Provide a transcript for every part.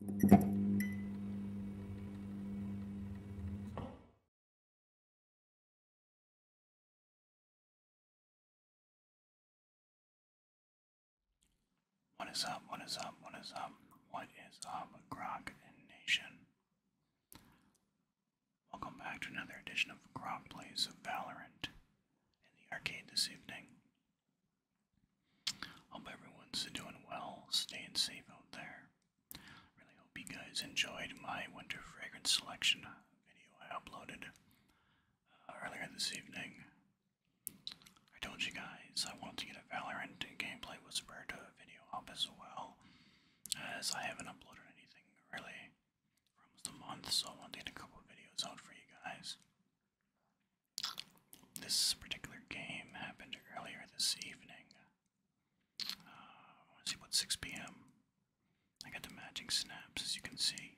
What is up? What is up? What is up? What is up, Grok Nation? Welcome back to another edition of Grok Plays of Valorant in the arcade this evening. Hope everyone's doing well, staying safe out there. Really hope you guys enjoyed my winter fragrance selection video I uploaded uh, earlier this evening. I told you guys I wanted to get a Valorant Gameplay Whisperer uh, video up as well, as I haven't uploaded anything really for almost a month, so I wanted to get a couple videos out for you guys. This particular game happened earlier this evening. Uh, let 6 p.m. I got the matching snaps, as you can see.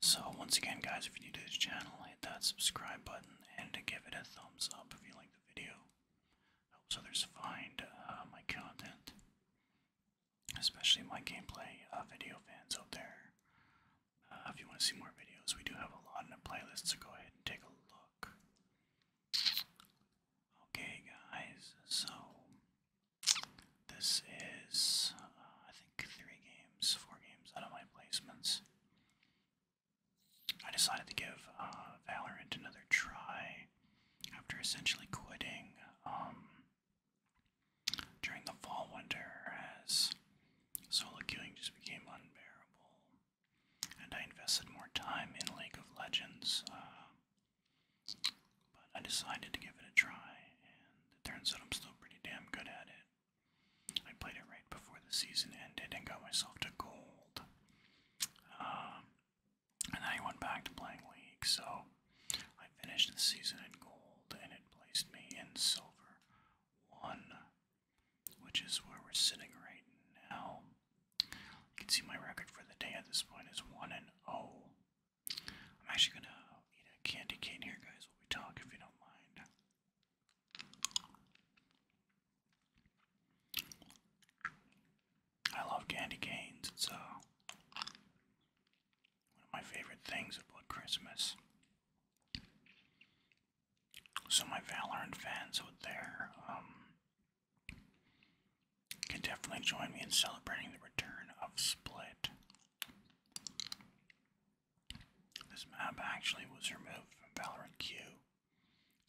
So once again, guys, if you're new to this channel, hit that subscribe button and give it a thumbs up if you like the video. Helps others find uh, my content, especially my gameplay uh, video fans out there. Uh, if you want to see more videos, we do have a lot in the playlist, so go ahead and take a look. Okay, guys, so this is, uh, I think, three games, four games out of my placements. I decided to give uh, Valorant another try after essentially quitting um, during the fall winter as Solo queuing just became unbearable, and I invested more time in League of Legends. Uh, but I decided to give it a try, and it turns out I'm still pretty damn good at it. I played it right before the season ended and got myself to gold. Um, and then I went back to playing League, so I finished the season in gold and it placed me in silver 1, which is where we're sitting right now. You can see my record for the day at this point is 1 and 0. I'm actually going to eat a candy cane here, guys, while we talk, if you don't mind. I love candy canes. It's uh, one of my favorite things about Christmas. So my Valorant fans out there um, can definitely join me in celebrating the return of Split. This map actually was removed from Valorant Q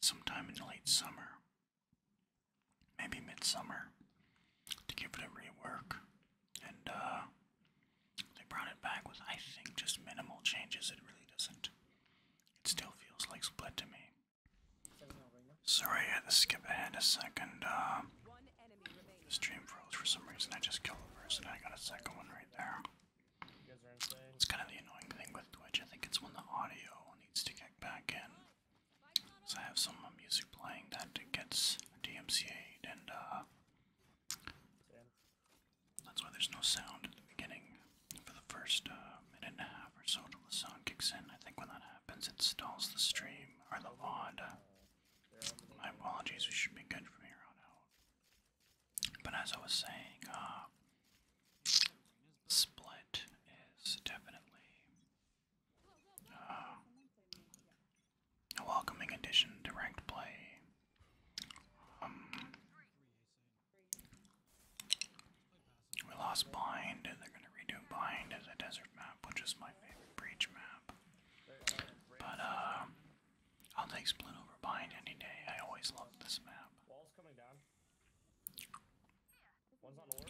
sometime in late summer, maybe midsummer, to give it a rework and uh, they brought it back with, I think, just minimal changes. It really doesn't. It still feels like Split to me. Sorry, I had to skip ahead a second. Uh, the stream froze for some reason. I just killed a person. I got a second one right there. It's kind of the annoying thing with Twitch. I think it's when the audio needs to get back in. So I have some music playing that gets DMCA'd and uh, that's why there's no sound at the beginning for the first uh, minute and a half or so until the sound kicks in. I think when that happens, it stalls the stream or the VOD. My apologies, we should be good from here on out. But as I was saying, uh, Split is definitely uh, a welcoming addition to ranked play. Um, we lost Bind, and they're gonna redo Bind as a desert map, which is my favorite breach map. But um, I'll take Split any day. I always love this map.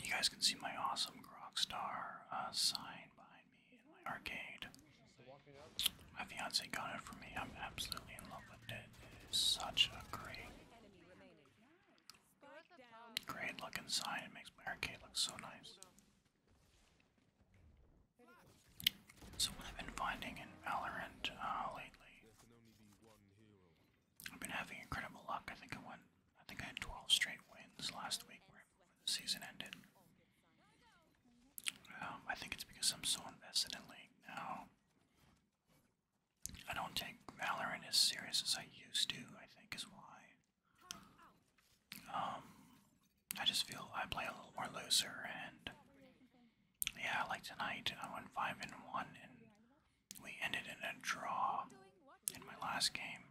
You guys can see my awesome Grockstar uh, sign behind arcade. My fiance got it for me. I'm absolutely in love with it. It is such a great, great looking sign. It makes my arcade look so nice. So what I've been finding in Valorant uh, lately, I've been having incredible luck. I think I won. I think I had 12 straight wins last week where the season ended. Um, I think it's because I'm so invested in League now. I don't take Valorant as serious as I used to, I think is why. Um, I just feel I play a little more looser and yeah, like tonight I went five and one and we ended in a draw in my last game.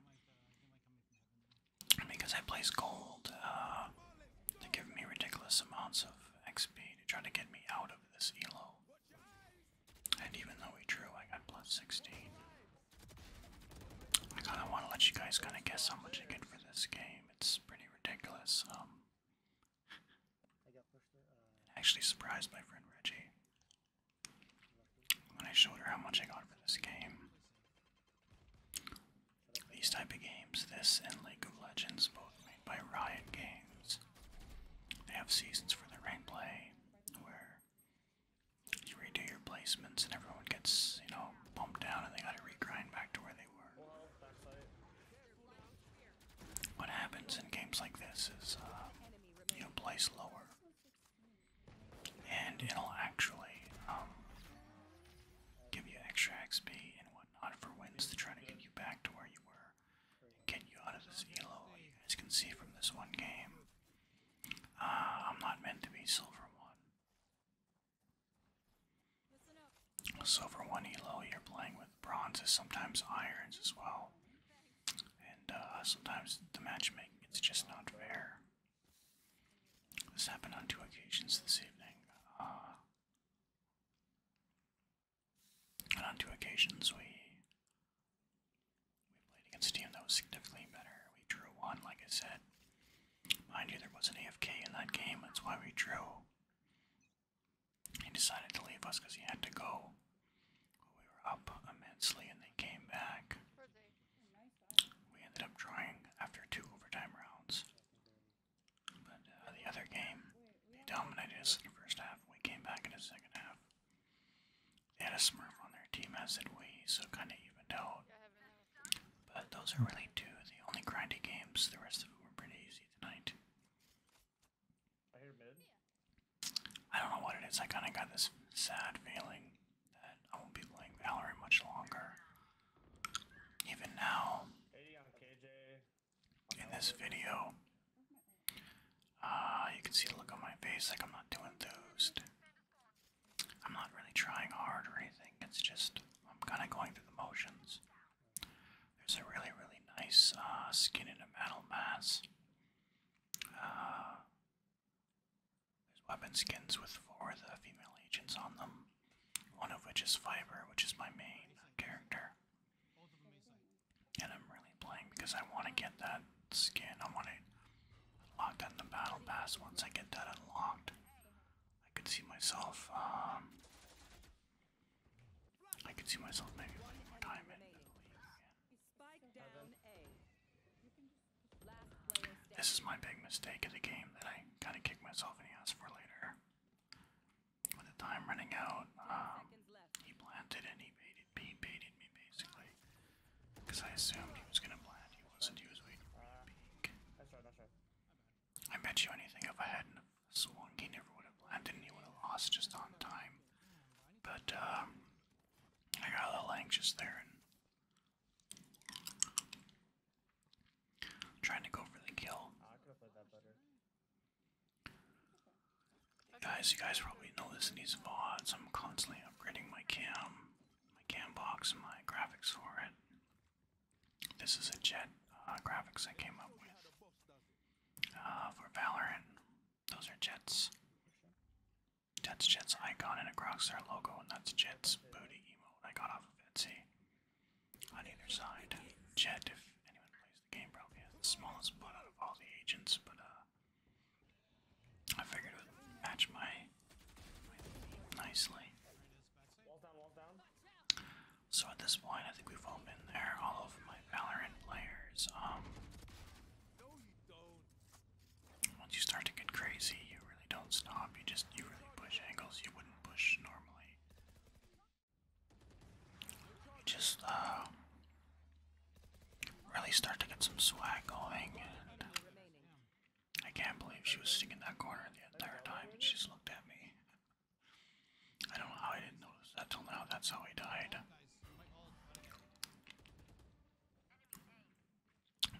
Because I plays gold, uh, to give me ridiculous amounts of XP to try to get me out of this elo. And even though we drew, I got plus 16. I kind of want to let you guys kind of guess how much I get for this game. It's pretty ridiculous. Um, actually surprised my friend Reggie when I showed her how much I got for this game. These type of games, this and League of Legends, both made by Riot Games, they have seasons for the rank play where you redo your placements and everyone gets, you know, bumped down and they gotta regrind back to where they were. What happens in games like this is, uh, you know, place lower, and it'll actually um, give you extra XP and what not for wins to try to get you back to where you were and get you out of this elo. You guys can see from this one game. Uh, I'm not meant to be silver one. Silver one elo, you're playing with bronzes, sometimes irons as well. And uh, sometimes the matchmaking it's just not fair. This happened on two occasions this evening. Uh, and on two occasions, we we played against a team that was significantly better. We drew one, like I said. Mind you, there was an AFK in that game. That's why we drew. He decided to leave us because he had to go. We were up immensely, and they came back. We ended up drawing after two overtime rounds. But uh, the other game, they dominated us in the first half. We came back in the second half. They had a Smurf on their team, as did we, so kind of evened out. But those are really two of the only grindy games. The rest of them were pretty easy tonight. I hear mid. I don't know what it is. I kind of got this sad feeling that I won't be playing Valerie much longer. Even now, in this video, uh, you can see the look on my face like I'm not too enthused. I'm not really trying hard or anything, it's just I'm kind of going through the motions. There's a really, really nice uh, skin in a metal mass. Uh, there's weapon skins with four of the female agents on them. One of which is Fiber, which is my main character. And I'm really playing because I want to get that skin. I want to unlock that in the battle pass. Once I get that unlocked, I could see myself. Um, I could see myself maybe playing more time This is my big mistake of the game that I kind of kick myself in the ass for later. With time running out, um, he planted and he baited, he baited me basically. Because I assumed he was gonna plant, he wasn't, he was waiting for the I bet you anything if I hadn't swung, he never would have planted he would have lost just on time. But, um, I got a little anxious there I'm trying to go for the kill. Guys, you guys probably know this in these VODs. I'm constantly upgrading my cam, my cam box, my graphics for it. This is a jet uh, graphics I came up with uh, for Valorant. Those are jets. That's Jets icon and a Crocstar logo, and that's Jets booty emote I got off Etsy. On either side, Jet, if anyone plays the game, probably has the smallest blood out of all the agents, but uh, I figured it would match my, my nicely. So at this point, I think we've all been there, all of my Valorant players. Um, Once you start to get crazy, you really don't stop. You just you really push angles you wouldn't push normally. Just uh, really start to get some swag going. I can't believe she was sitting in that corner the entire time she just looked at me. I don't know how I didn't notice that till now. That's how he died.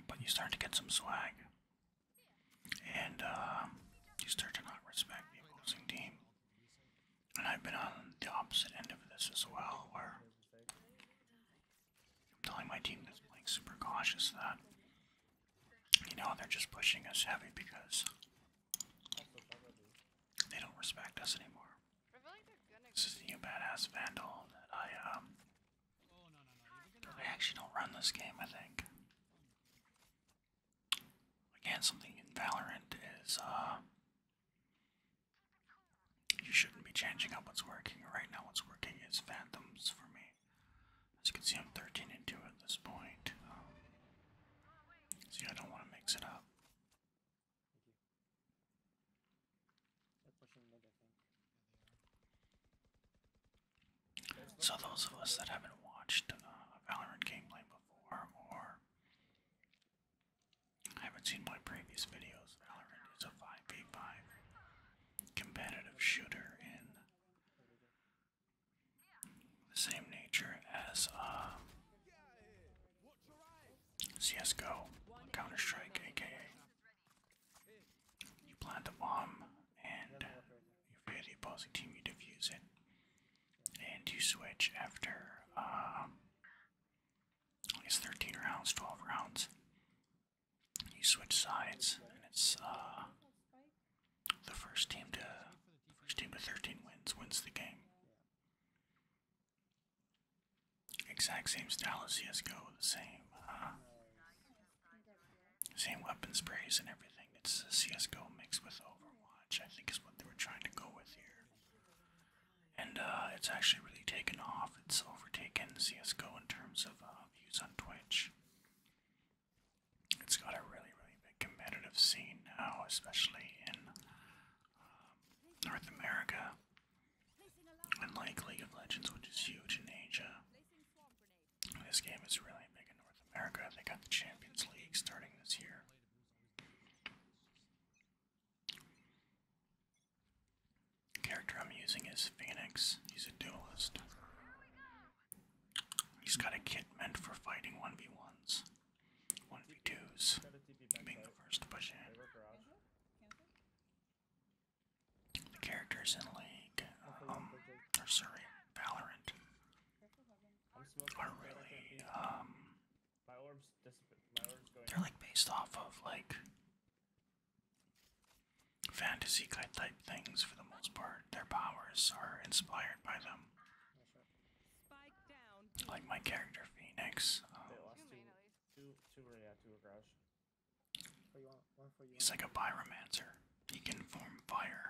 But you start to get some swag and uh, you start to not respect the opposing team. And I've been on the opposite end of this as well, where I'm telling my team that's playing super cautious that, you know, they're just pushing us heavy because they don't respect us anymore. This is the new badass Vandal that I, um, they actually don't run this game, I think. Again, something in Valorant is uh, you shouldn't be changing up what's working. Right now, what's working is Phantoms for me. As you can see, I'm 13 into it at this point. Um, see, I don't want to mix it up. So those of us that haven't watched uh, Valorant gameplay before or haven't seen my previous videos, Valorant is a 5v5 competitive shooter in the same nature as uh, CSGO, Counter Strike, aka you plant a bomb and you appear the opposing team, you defuse it. And you switch after, uh, I 13 rounds, 12 rounds. You switch sides, and it's uh, the first team to first team to 13 wins wins the game. Exact same style as CS:GO, the same uh, same weapon sprays and everything. It's a CSGO mixed with Overwatch, I think is what they were trying to go with here. And uh, it's actually really taken off. It's overtaken CSGO in terms of uh, views on Twitch. It's got a really, really big competitive scene now, especially in um, North America. And like League of Legends, which is huge in Asia. This game is really big in North America. They got the Champions League starting this year. The character I'm using is Phoenix. He's a duelist. He's got a kit meant for fighting 1v1s, 1v2s, being the first to push in. The characters in League, um, or sorry, Valorant are really um they're like based off of like fantasy type things for the most part. Their powers are inspired by them. Like my character Phoenix. Um, He's like a pyromancer. He can form fire.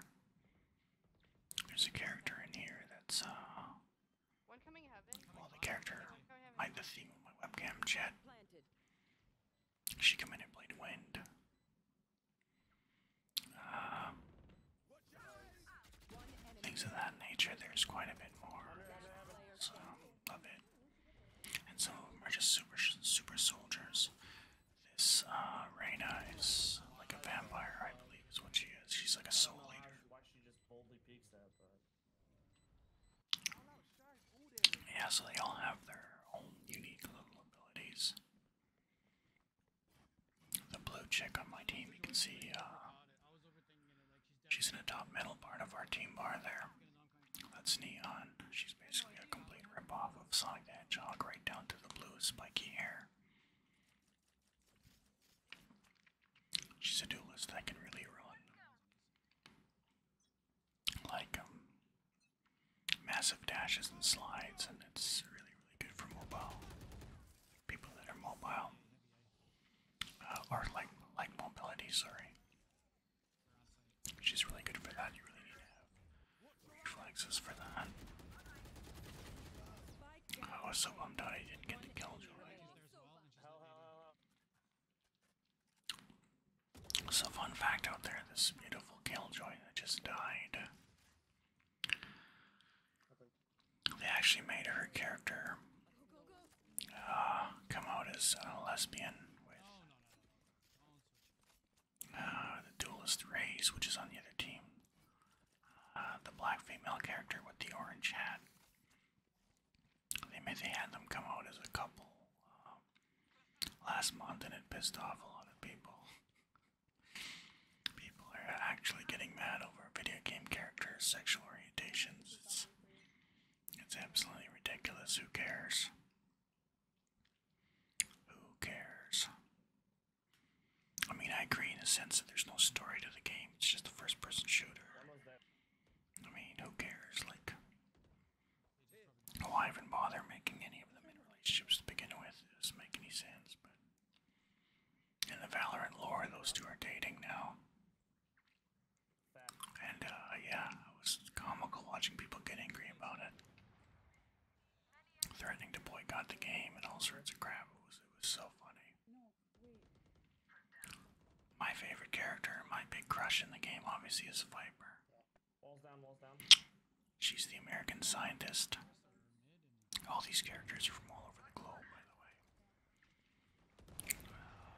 There's a character in here that's uh one coming heaven. Well the character I the theme on my webcam chat. She come in and played wind. Uh, things of that nature, there's quite a bit more of it. And some of them are just super super soldiers. This uh, Reyna is like a vampire, I believe, is what she is. She's like a soul leader. Yeah, so they all have their own unique little abilities. The blue chick on my team, you can see, uh, she's in the top middle part of our team bar there. That's Neon. She she's basically a complete ripoff of Sonic the Hedgehog, right down to the blue spiky hair. She's a duelist that can really run like um, massive dashes and slides, and it's really, really good for mobile. people that are mobile, or uh, like like mobility. Sorry, she's really good for that. You really need to have Reflexes for that. Oh, I was so bummed out I didn't get the Killjoy. So fun fact out there, this beautiful Killjoy that just died. They actually made her character uh, come out as a lesbian uh, the duelist rays, which is on the other team. Uh, the black female character with the orange hat. They made they had them come out as a couple um, last month, and it pissed off a lot of people. people are actually getting mad over video game characters' sexual orientations. It's, it's absolutely ridiculous. Who cares? Who cares? I mean, I agree in the sense that there's no story to the game, it's just a first person shooter. I mean, who cares? Like, why even bother making any of them in relationships to begin with? It doesn't make any sense, but. In the Valorant lore, those two are dating now. And, uh, yeah, it was comical watching people get angry about it threatening to boycott the game and all sorts of crap. It was, so funny. My favorite character, my big crush in the game, obviously, is Viper. She's the American scientist. All these characters are from all over the globe, by the way.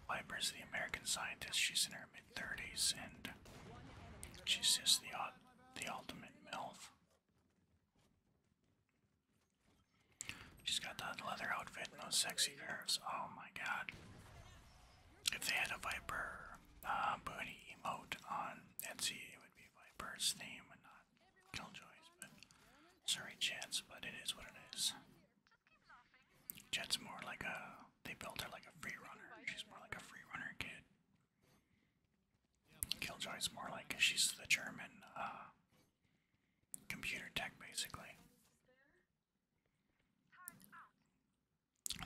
Viper is the American scientist. She's in her mid 30s, and she's just the odd the ultimate MILF. She's got that leather outfit and those sexy curves. Oh my god. If they had a Viper uh, booty emote on Etsy, it would be Viper's name not Killjoy's. sorry, Jets, but it is what it is. Jet's more like a. They built her like a free runner. She's more like a free runner kid. Killjoy's more like she's the German uh, computer tech, basically.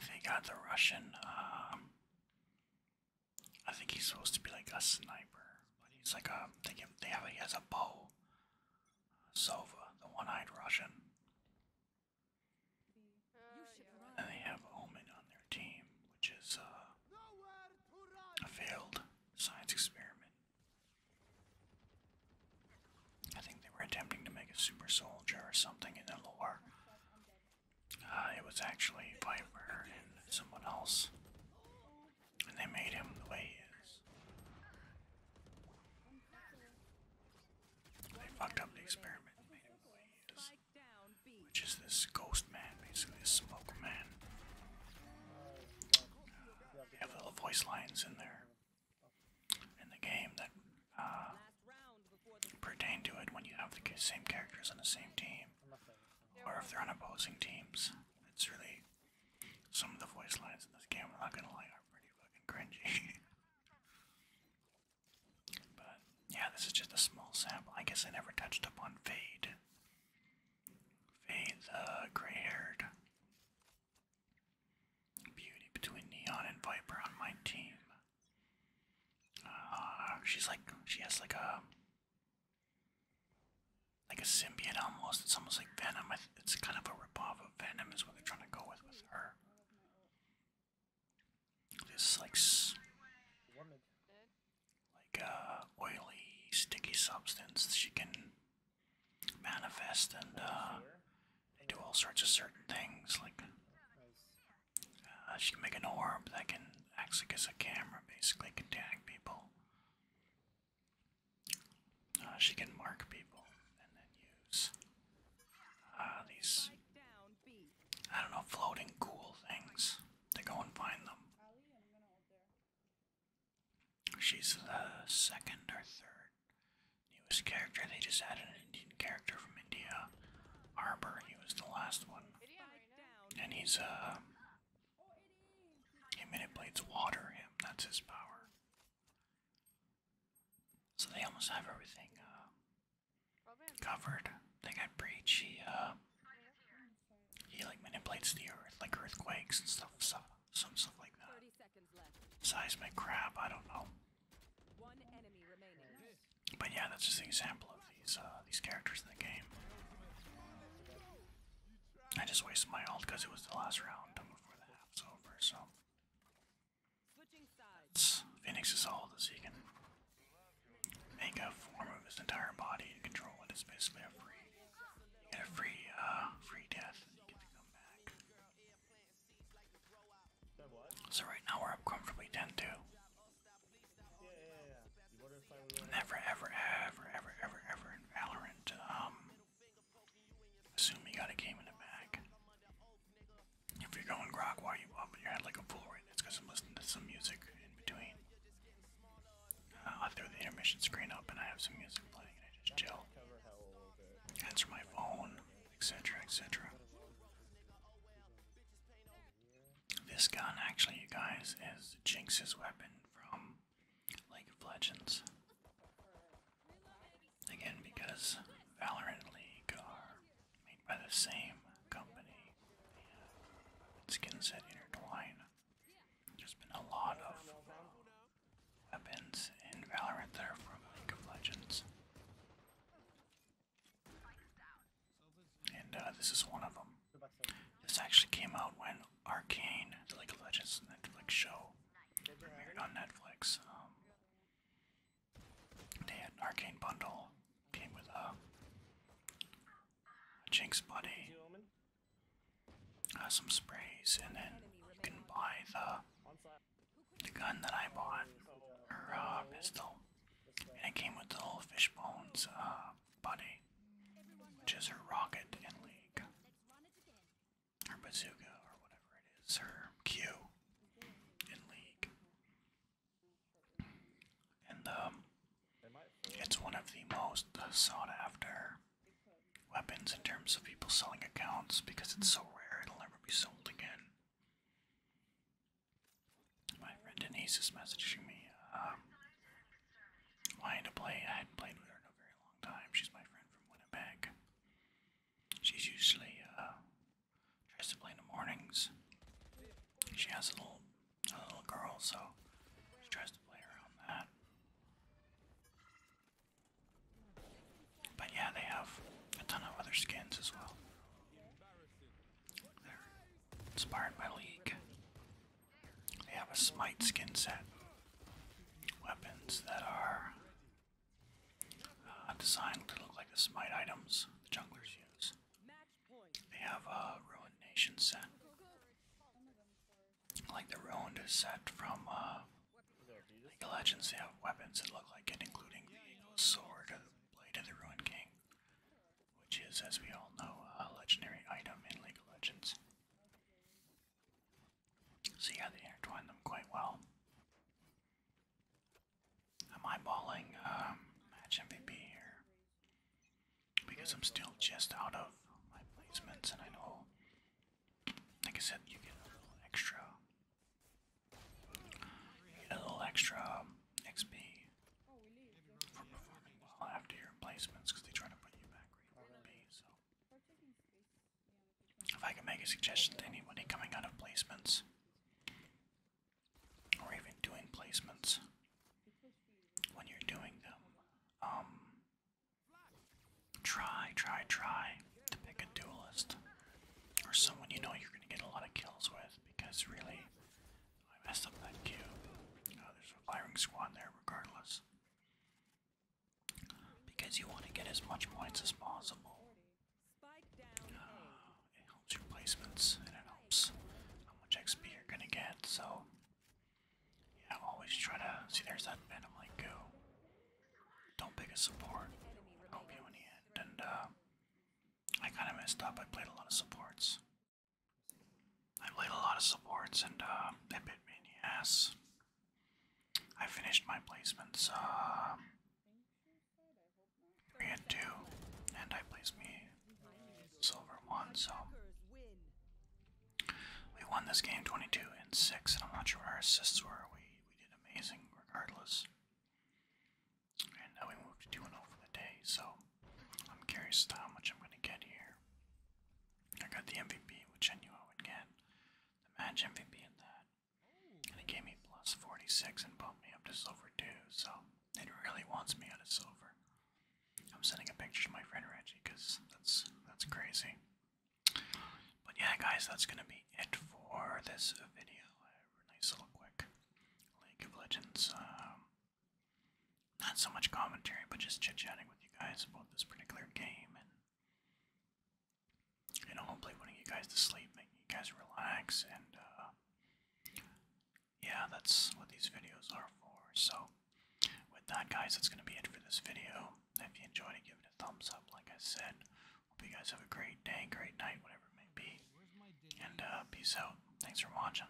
They got uh, the Russian. Um, I think he's supposed to be like a sniper, but he's like a. They give. They have. He has a bow. Sova, the one-eyed Russian. And they oh, have Omen on their team, which is uh, a failed science experiment. I think they were attempting to make a super soldier or something in the lore. Uh, it was actually Viper and someone else. And they made him the way he is. They fucked up the experiment made him the way he is which is this ghost man, basically this smoke man. They have little voice lines in there in the game that uh, pertain to it when you have the same characters on the same team, or if they're on opposing teams. It's really some of the voice lines in this game. I'm not gonna lie, are pretty fucking cringy. But yeah, this is just a small sample. I guess I never touched up on Fade. Fade the uh, gray haired beauty between Neon and Viper on my team. Uh, she's like, she has like a. Like a symbiote almost. It's almost like Venom. It's kind of a ripoff of Venom, is what they're trying to go with with her. This like like uh, oily, sticky substance she can manifest, and uh, do all sorts of certain things. Like uh, she can make an orb that can act like as a camera, basically can tag people. Uh, she can mark people and then use these I don't know, floating cool things to go and find them. She's the uh, second or third newest character. They just added an Indian character from India, Arbor. He was the last one. And he's, uh. He manipulates water, him. That's his power. So they almost have everything uh, covered. They got breach. He uh, he like manipulates the earth, like earthquakes and stuff, stuff, some stuff like that. Seismic crap. I don't know. One enemy remaining. But yeah, that's just an example of these uh, these characters in the game. I just wasted my ult because it was the last round before the half's over. So Phoenix is all so you make a form of his entire body and control it. It's basically a free, a free, uh, free death, So right now we're comfortably 10 Never, ever, ever, ever, ever, ever in um, assume you got a game in the bag. If you're going grog while you up your head like a fool right, it's because I'm listening to some music in between. Uh, I throw the intermission screen up and I have some music playing and I just chill. Answer my phone, etc., etc. This gun, actually, you guys, is Jinx's weapon from League of Legends. Again, because Valorant League are made by the same company. And skin set intertwine. There's been a lot of weapons in Valorant that are from League of Legends. And uh, this is one of them. This actually came out when Arcane, the League of Legends Netflix show, premiered on Netflix. Um, they arcane bundle, came with a, Jinx Buddy, uh, some sprays, and then you can buy the, the gun that I bought, or uh, pistol. And it came with the little fish bones uh, Buddy, which is her rocket in League, her bazooka, or whatever it is, her Q in League. And um, it's one of the most sought after weapons in terms of people selling accounts because it's so rare it'll never be sold again. My friend Denise is messaging me, um, wanting to play. I hadn't played with her in a very long time. She's my friend from Winnipeg. She's usually uh, tries to play in the mornings. She has a little, a little girl, so she tries to play around that. But yeah, they have a ton of other skins as well. They're inspired by League. They have a Smite skin set. Weapons that are uh, designed to look like the Smite items the junglers use. They have a Ruined Nation set. Like the Ruined set from uh, League of Legends, they have weapons that look like it, including the Sword and Blade of the Ruined King, which is, as we all know, a legendary item in League of Legends. So yeah, they intertwine them quite well. I'm eyeballing um, match MVP here because I'm still just out of my placements, and I know, like I said, you get a little extra, a little extra um, XP for performing well after your placements because they try to put you back where if I can make a suggestion to anybody coming out of placements or even doing placements when you're doing them. Um, try, try, try to pick a duelist or someone you know you're going to get a lot of kills with because really, I messed up that cube. Uh, there's a firing squad there regardless. Because you want to get as much points as possible it helps your placements and it helps how much XP you're gonna get, so yeah, always try to see there's that venom like go. Don't pick a support. Help you in the end. And uh, I kinda messed up. I played a lot of supports. I played a lot of supports and uh bit me in the ass. I finished my placements, uh, three and two, and I place me silver one. So we won this game 22 and six, and I'm not sure what our assists were. We we did amazing regardless, and now we moved to two and zero oh for the day. So I'm curious to how much I'm gonna get here. I got the MVP, which I knew I would get, the match MVP in that, and it gave me plus 46 and bumped me up to silver two. So. It really wants me out of silver. I'm sending a picture to my friend Reggie because that's that's crazy. But yeah, guys, that's gonna be it for this video. A nice quick League of Legends. Um, not so much commentary, but just chit-chatting with you guys about this particular game and you know, hopefully putting you guys to sleep, making you guys relax, and uh, yeah, that's what these videos are for. So, with that, guys, that's going to be it for this video. If you enjoyed it, give it a thumbs up, like I said. Hope you guys have a great day, great night, whatever it may be. And uh, peace out. Thanks for watching.